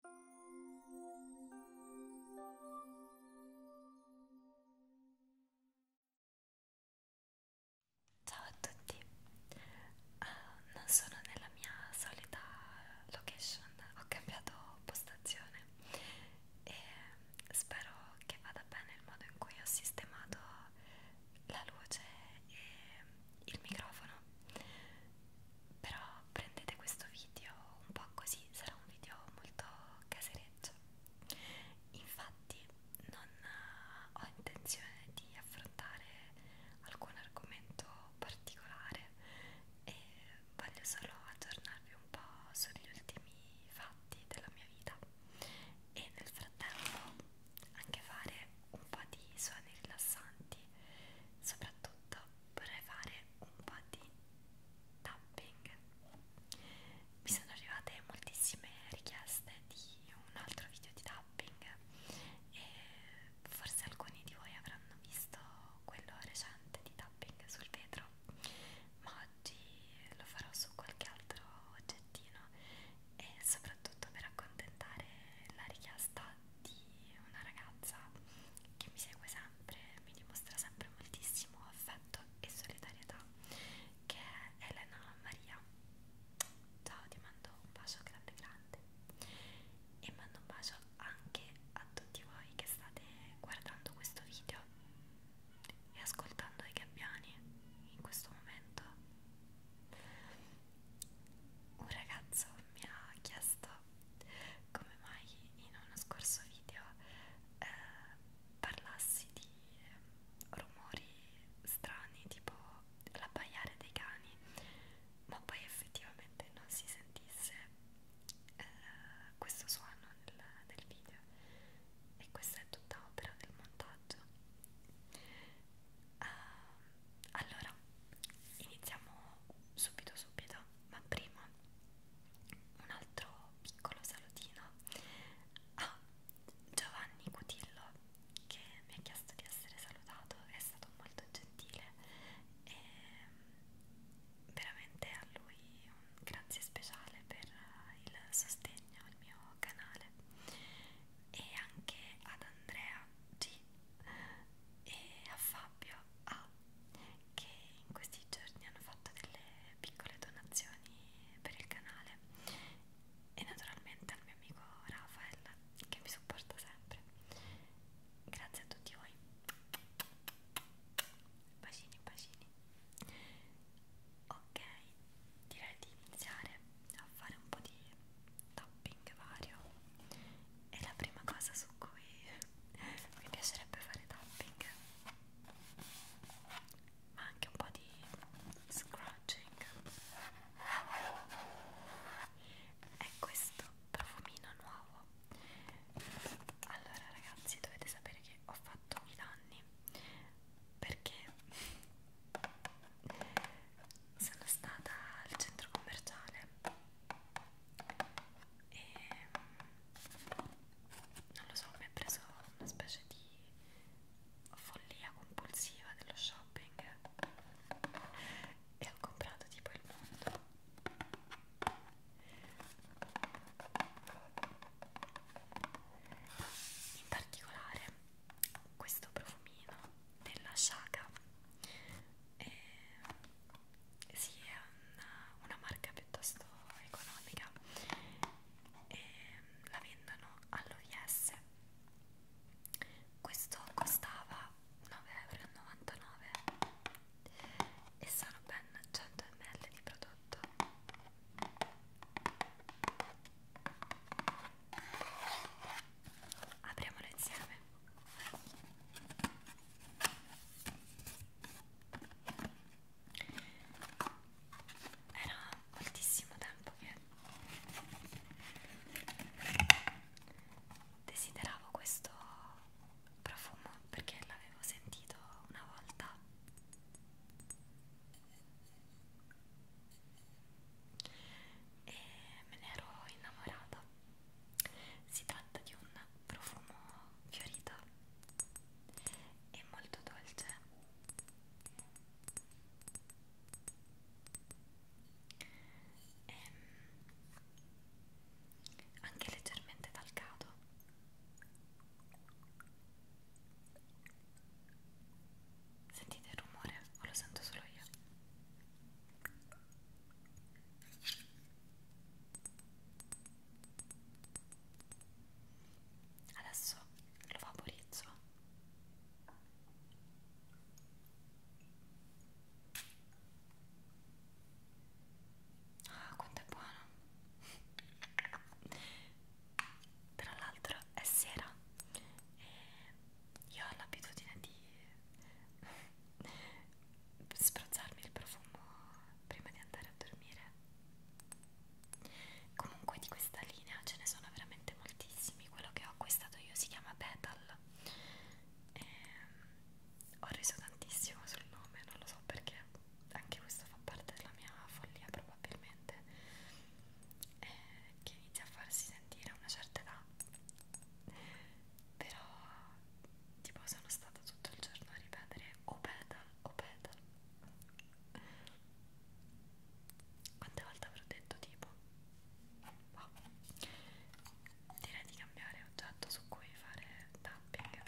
Ciao a tutti, uh, non sono nella mia solita location, ho cambiato postazione e spero che vada bene il modo in cui ho sistemato la luce e il microfono però prendete questo video un po' così, sarà un video molto casereccio. Infatti non eh, ho intenzione di affrontare alcun argomento particolare e voglio solo aggiornarvi un po' sugli ultimi fatti della mia vita e nel frattempo anche fare un po' di suoni rilassanti soprattutto vorrei fare un po' di tapping mi sono arrivate moltissime richieste di un altro video di tapping e forse alcuni di voi avranno visto quello recente di tapping sul vetro ma oggi lo farò su qualche altro oggettino e soprattutto per accontentare la richiesta di una ragazza che mi segue sempre, mi dimostra sempre moltissimo affetto e solidarietà, che è Elena Maria. Ciao, ti mando un bacio grande grande e mando un bacio anche a tutti voi che state guardando questo video e ascoltando i gabbiani in questo momento. Un ragazzo mi ha chiesto come mai in uno scorso video eh, parlassi di eh, rumori strani tipo l'abbaiare dei cani ma poi effettivamente non si sentisse eh, questo suono nel, nel video e questa è tutta opera del montaggio uh, allora iniziamo subito subito ma prima un altro piccolo salutino a Giovanni Cutillo che mi ha chiesto di essere salutato, è stato molto gentile e mm, veramente a lui un grazie speciale per il sostegno al mio canale e anche ad Andrea G e a Fabio A ah, che in questi giorni hanno fatto delle piccole donazioni per il canale e naturalmente al mio amico Rafael che mi supporta sempre grazie a tutti voi bacini bacini ok direi di iniziare a fare un po' di tapping shopping vario è la prima cosa su cui mi piacerebbe fare tapping ma anche un po' di scratching è questo profumino nuovo allora ragazzi dovete sapere che ho fatto i danni perché sono stata al centro commerciale e non lo so, mi ha preso una specie di follia compulsiva dello shopping e ho comprato tipo il mondo in particolare questo profumino della Shaka e eh, sì, è una, una marca piuttosto economica e ehm, la vendono all'OIS questo costava 9,99 euro e sono ben 100 ml di prodotto apriamolo insieme era moltissimo tempo che desideravo questo profumo perché l'avevo sentito una volta e me ne ero innamorata si tratta di un profumo fiorito e molto dolce. E ehm, anche leggermente talcato. Sentite il rumore o lo sento solo io? Adesso lo vaporizzo. Ah, quanto è buono! Tra l'altro è sera e io ho l'abitudine di spruzzarmi il profumo prima di andare a dormire comunque di questa linea ce ne sono veramente moltissimi quello che ho acquistato io si chiama Petal e ehm, ho riso tantissimo sul nome non lo so perché anche questo fa parte della mia follia probabilmente eh, che inizia a farsi sentire a una certa età però tipo sono stata tutto il giorno a ripetere o oh, pedal o oh, pedal quante volte avrò detto tipo wow. direi di cambiare oggetto su cui fare tapping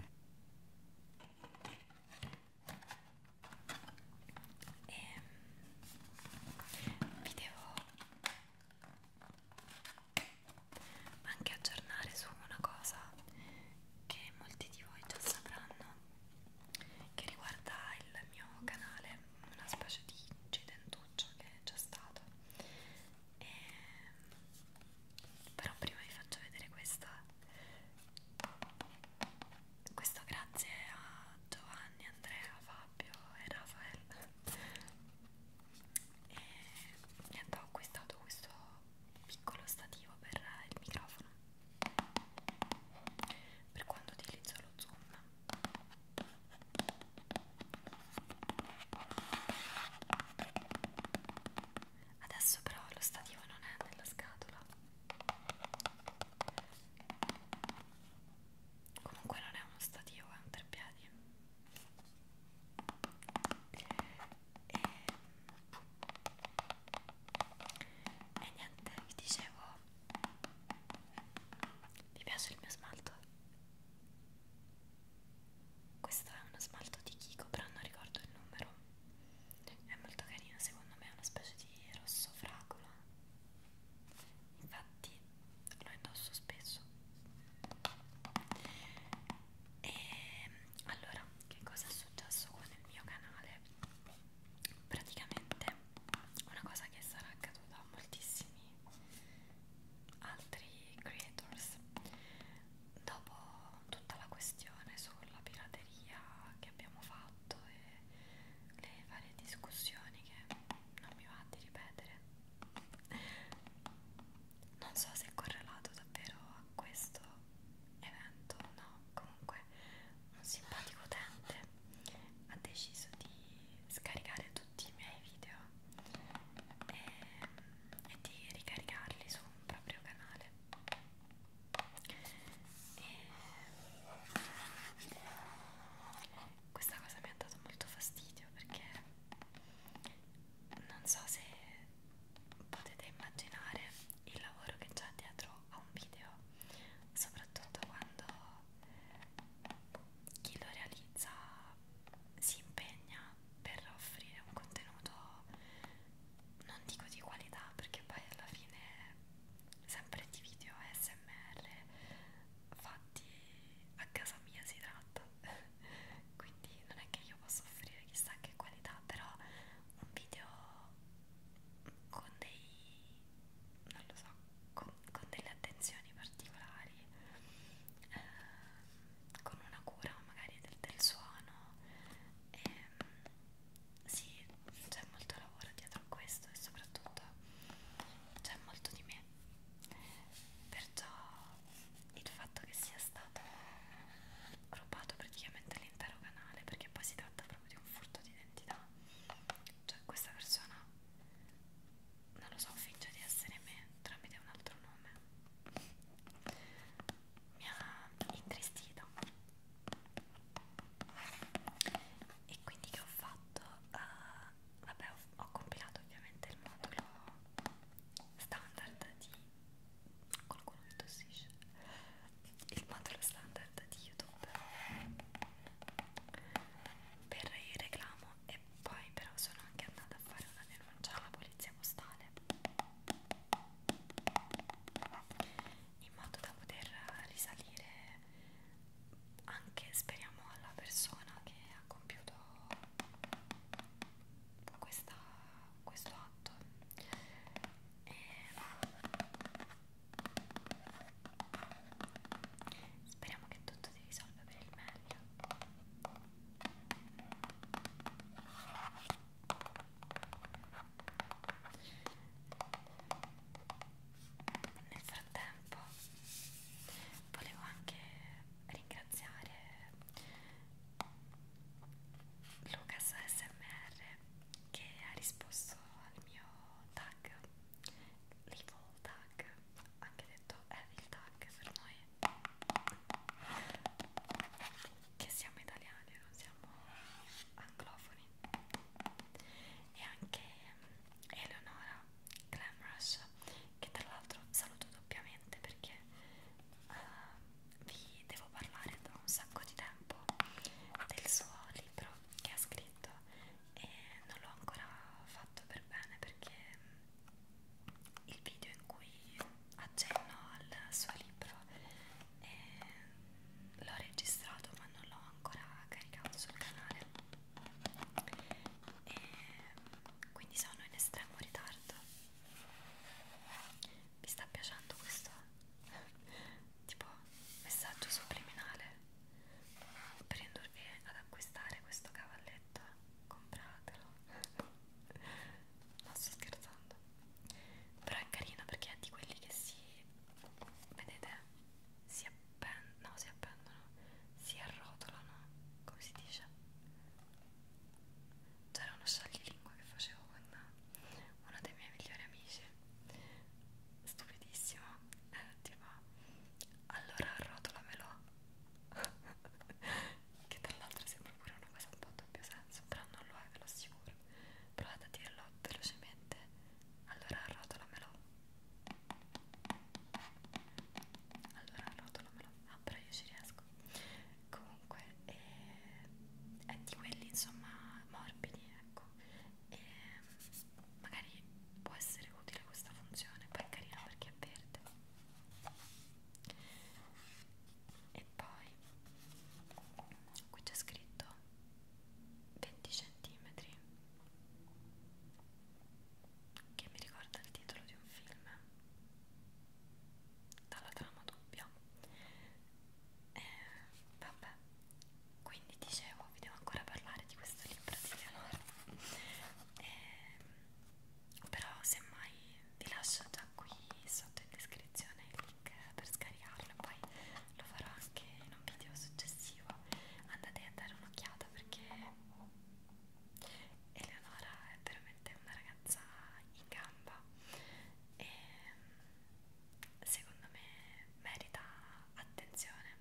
e ehm, vi devo ma anche aggiornare su una cosa che molti di voi già sapranno che riguarda il mio canale una specie di incidentuccio che è già stato e... però prima vi faccio vedere questa questo grazie a Giovanni, Andrea, Fabio e Raffaele e eh, niente ho acquistato questo piccolo stativo per il microfono per quando utilizzo lo zoom adesso però lo stativo non è nella scatola comunque non è uno stativo è un treppiedi e, e niente, vi dicevo vi piace il mio smalto? questo è uno smalto di Kiko però non ricordo il numero è molto carino secondo me è una specie di rosso fragola infatti lo indosso spesso e ehm, allora che cosa è successo con il mio canale praticamente una cosa che sarà accaduta a moltissimi altri creators dopo tutta la questione sulla pirateria che abbiamo fatto e le varie discussioni che non mi va di ripetere non so se è correlato davvero a questo evento o no, comunque un simpatico utente ha deciso di scaricare tutti i miei video e, e di ricaricarli su un proprio canale e questa cosa mi ha dato molto fastidio perché non so se potete immaginare il lavoro che c'è dietro a un video, soprattutto quando chi lo realizza si impegna per offrire un contenuto non dico di qualità perché poi alla fine sempre di video ASMR fatti a casa mia si tratta quindi non è che io posso offrire chissà che qualità però un video con dei non lo so con, con delle attenzioni particolari eh, con una cura magari del, del suono e, ehm, sì c'è molto lavoro dietro a questo e soprattutto c'è molto di me perciò il fatto che sia stato rubato praticamente l'intero canale perché poi si tratta proprio di un furto di identità cioè questa persona non lo so finge di essere me tramite un altro nome mi ha intristito e quindi che ho fatto uh, vabbè ho, ho compilato ovviamente il modulo standard di qualcuno che tossisce il modulo standard di youtube per il reclamo e poi però sono anche andata a fare una denuncia alla polizia postale in modo da poter risalire anche speriamo alla persona che ha compiuto questa, questo atto e ah, speriamo che tutto si risolva per il meglio nel frattempo volevo anche ringraziare Lucas ASMR che ha risposto al mio tag, l'evil tag, anche detto evil tag per noi che siamo italiani, non siamo anglofoni e anche Eleonora Glamrush che tra l'altro saluto doppiamente perché uh, vi devo parlare da un sacco di tempo del suo libro che ha scritto e non l'ho ancora fatto per bene perché mm, il video in cui accenno al suo libro eh, l'ho registrato ma non l'ho ancora caricato sul canale e quindi sono in estremo ritardo vi sta piacendo questo tipo messaggio subliminale per indurvi ad acquistare questo cavalletto compratelo non sto scherzando però è carino perché è di quelli che si vedete si appendono no si appendono si arrotolano come si dice c'era uno salilingue che facevo con uno dei miei migliori amici, stupidissimo, eh, tipo allora rotolamelo, che tra l'altro sembra pure una cosa un po' a doppio senso, però non lo è, ve lo assicuro. Provate a dirlo velocemente, allora rotolamelo. Allora rotolamelo ma ah, però io ci riesco comunque eh, è di quelli insomma morbidi ecco e magari può essere utile questa funzione poi è carina perché è verde e poi qui c'è scritto 20 cm che mi ricorda il titolo di un film dalla trama doppia e eh, vabbè quindi dicevo vi devo ancora parlare di questo libro di Leonora e, ehm, però semmai vi lascio già qui sotto in descrizione il link per scaricarlo poi lo farò anche in un video successivo andate a dare un'occhiata perché Eleonora è veramente una ragazza in gamba e mm, secondo me merita attenzione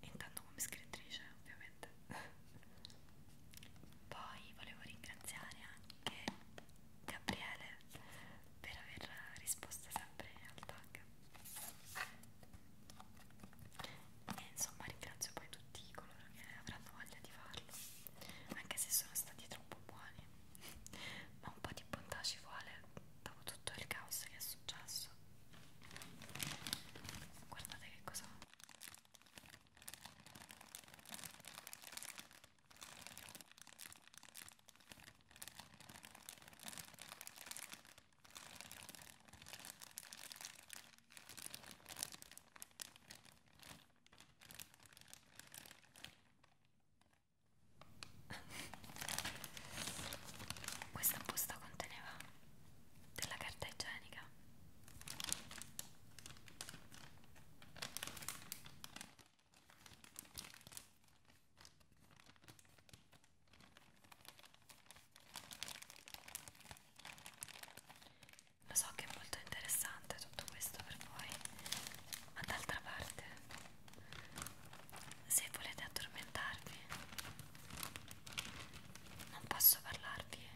intanto come scrittrice ovviamente poi volevo ringraziare anche Gabriele per aver risposto sempre al tag e insomma ringrazio poi tutti coloro che avranno voglia di farlo anche se sono stati troppo buoni ma un po' di bontà ci vuole dopo tutto il caos che è successo guardate che cosa ho questa busta conteneva della carta igienica. Lo so che è molto interessante tutto questo per voi, ma d'altra parte, se volete addormentarvi, non posso parlarvi eh,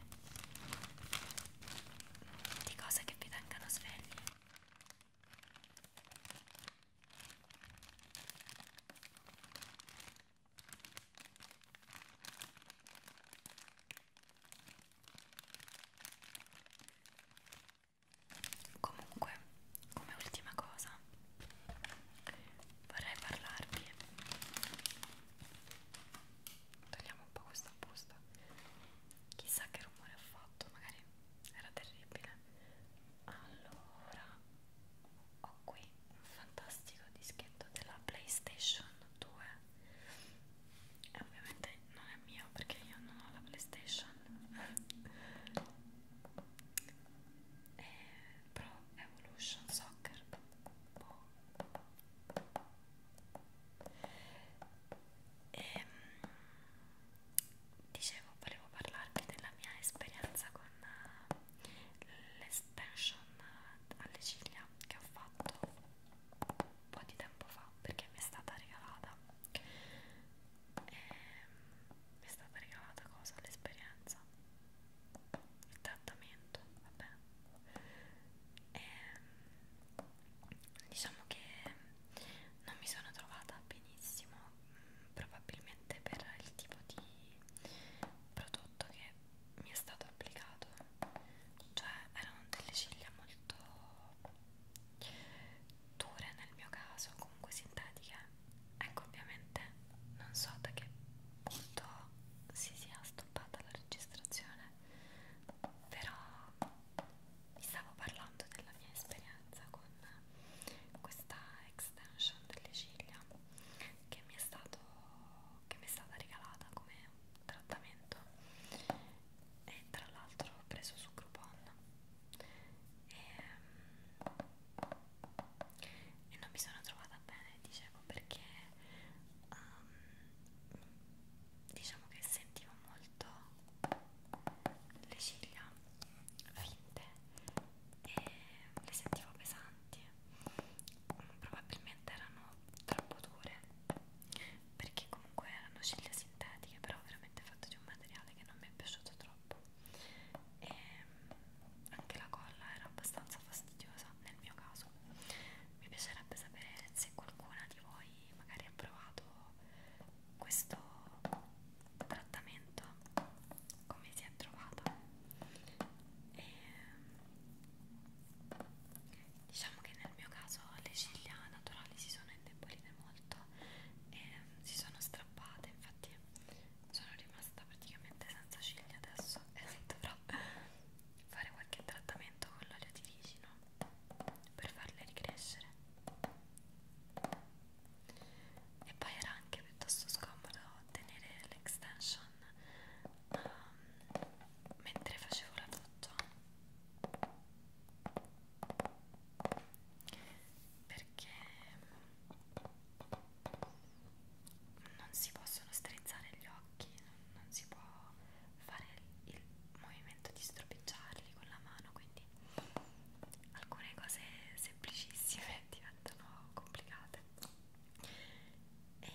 di cose che vi tengano svegli. Comunque, come ultima cosa, vorrei parlarvi. Togliamo un po' questa busta. Chissà che rumore ho fatto, magari era terribile. Allora ho qui un fantastico dischetto della PlayStation 2 e ovviamente non è mio perché io non ho la PlayStation e Pro Evolution Soccer e, mm, dicevo volevo parlarvi della mia esperienza con l'estension alle ciglia che ho fatto un po' di tempo fa perché mi è stata regalata e ehm, mi è stata regalata cosa? l'esperienza il trattamento vabbè e, ehm, diciamo che non mi sono trovata benissimo mm, probabilmente per il tipo di prodotto che mi è stato applicato cioè erano delle ciglia molto dure nel mio caso comunque sintetiche ecco ovviamente non so da che punto si sia stoppata la registrazione però vi stavo parlando della mia esperienza con questa extension delle ciglia che mi è stato che mi è stata regalata come trattamento e tra l'altro ho preso su Groupon e, ehm, e non mi sono trovata bene dicevo perché um, diciamo che sentivo molto le ciglia finte e le sentivo pesanti probabilmente erano troppo dure perché comunque erano ciglia sintetiche però veramente fatte di un materiale che non mi è piaciuto troppo e mm, anche la colla era abbastanza fastidiosa nel mio caso mi piacerebbe sapere se qualcuna di voi magari ha provato questo trattamento come si è trovata e mm, Diciamo che nel mio caso le ciglia naturali si sono indebolite molto e mm, si sono strappate, infatti sono rimasta praticamente senza ciglia adesso e dovrò fare qualche trattamento con l'olio di ricino per farle ricrescere. E poi era anche piuttosto scomodo tenere l'extension um, mentre facevo la doccia perché non si possono strizzare gli occhi, non, non si può fare il, il movimento di stropicciarli con la mano, quindi alcune cose semplicissime diventano complicate e ehm,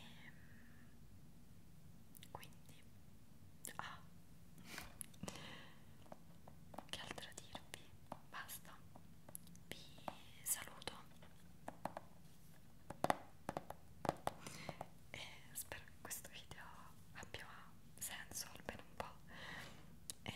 quindi ah che altro dirvi basta vi saluto e spero che questo video abbia senso almeno un po' e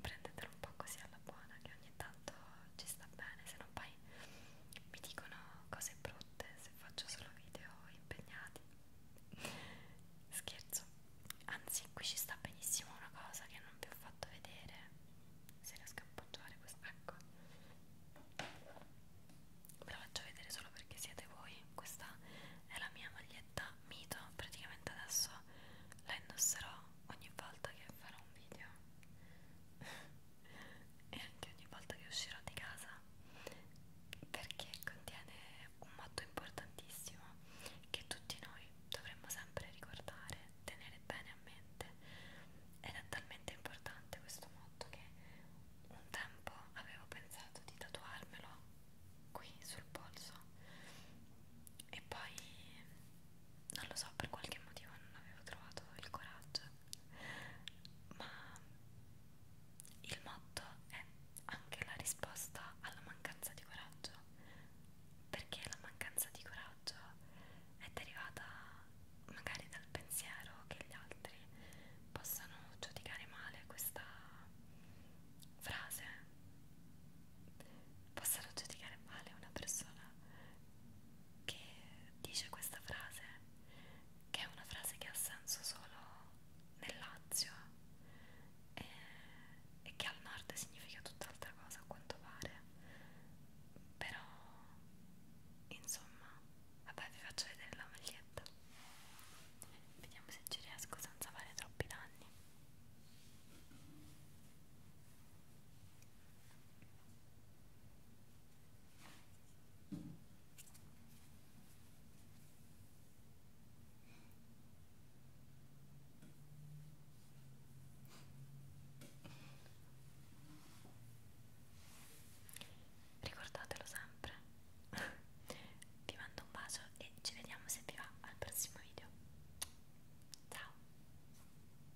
prendetelo un po' così alla buona che ogni tanto ci sta bene se non poi ormai mi dicono cose brutte se faccio solo video impegnati scherzo anzi qui ci sta benissimo una cosa che non vi ho fatto vedere se riesco a appoggiare questa ecco ve la faccio vedere solo perché siete voi questa è la mia maglietta mito praticamente adesso la indosserò ogni volta che farò un video e anche ogni volta che uscirò di casa perché contiene un motto importantissimo che tutti noi dovremmo sempre ricordare, tenere bene a mente ed è talmente importante questo motto che un tempo avevo pensato di tatuarmelo qui sul polso e poi non lo so, per qualche motivo non avevo trovato il coraggio, ma il motto è anche la risposta alla mancanza di coraggio, perché la mancanza di coraggio è derivata magari dal pensiero che gli altri possano giudicare male questa frase, possano giudicare male una persona che dice questa frase, che è una frase che ha senso solo nel Lazio e, e che al nord significa tutt'altra cosa a quanto pare, però insomma, vabbè vi faccio vedere la maglietta, vediamo se ci riesco senza fare troppi danni. Ricordatelo sempre. Vi mando un bacio e ci vediamo se vi va al prossimo video. Ciao!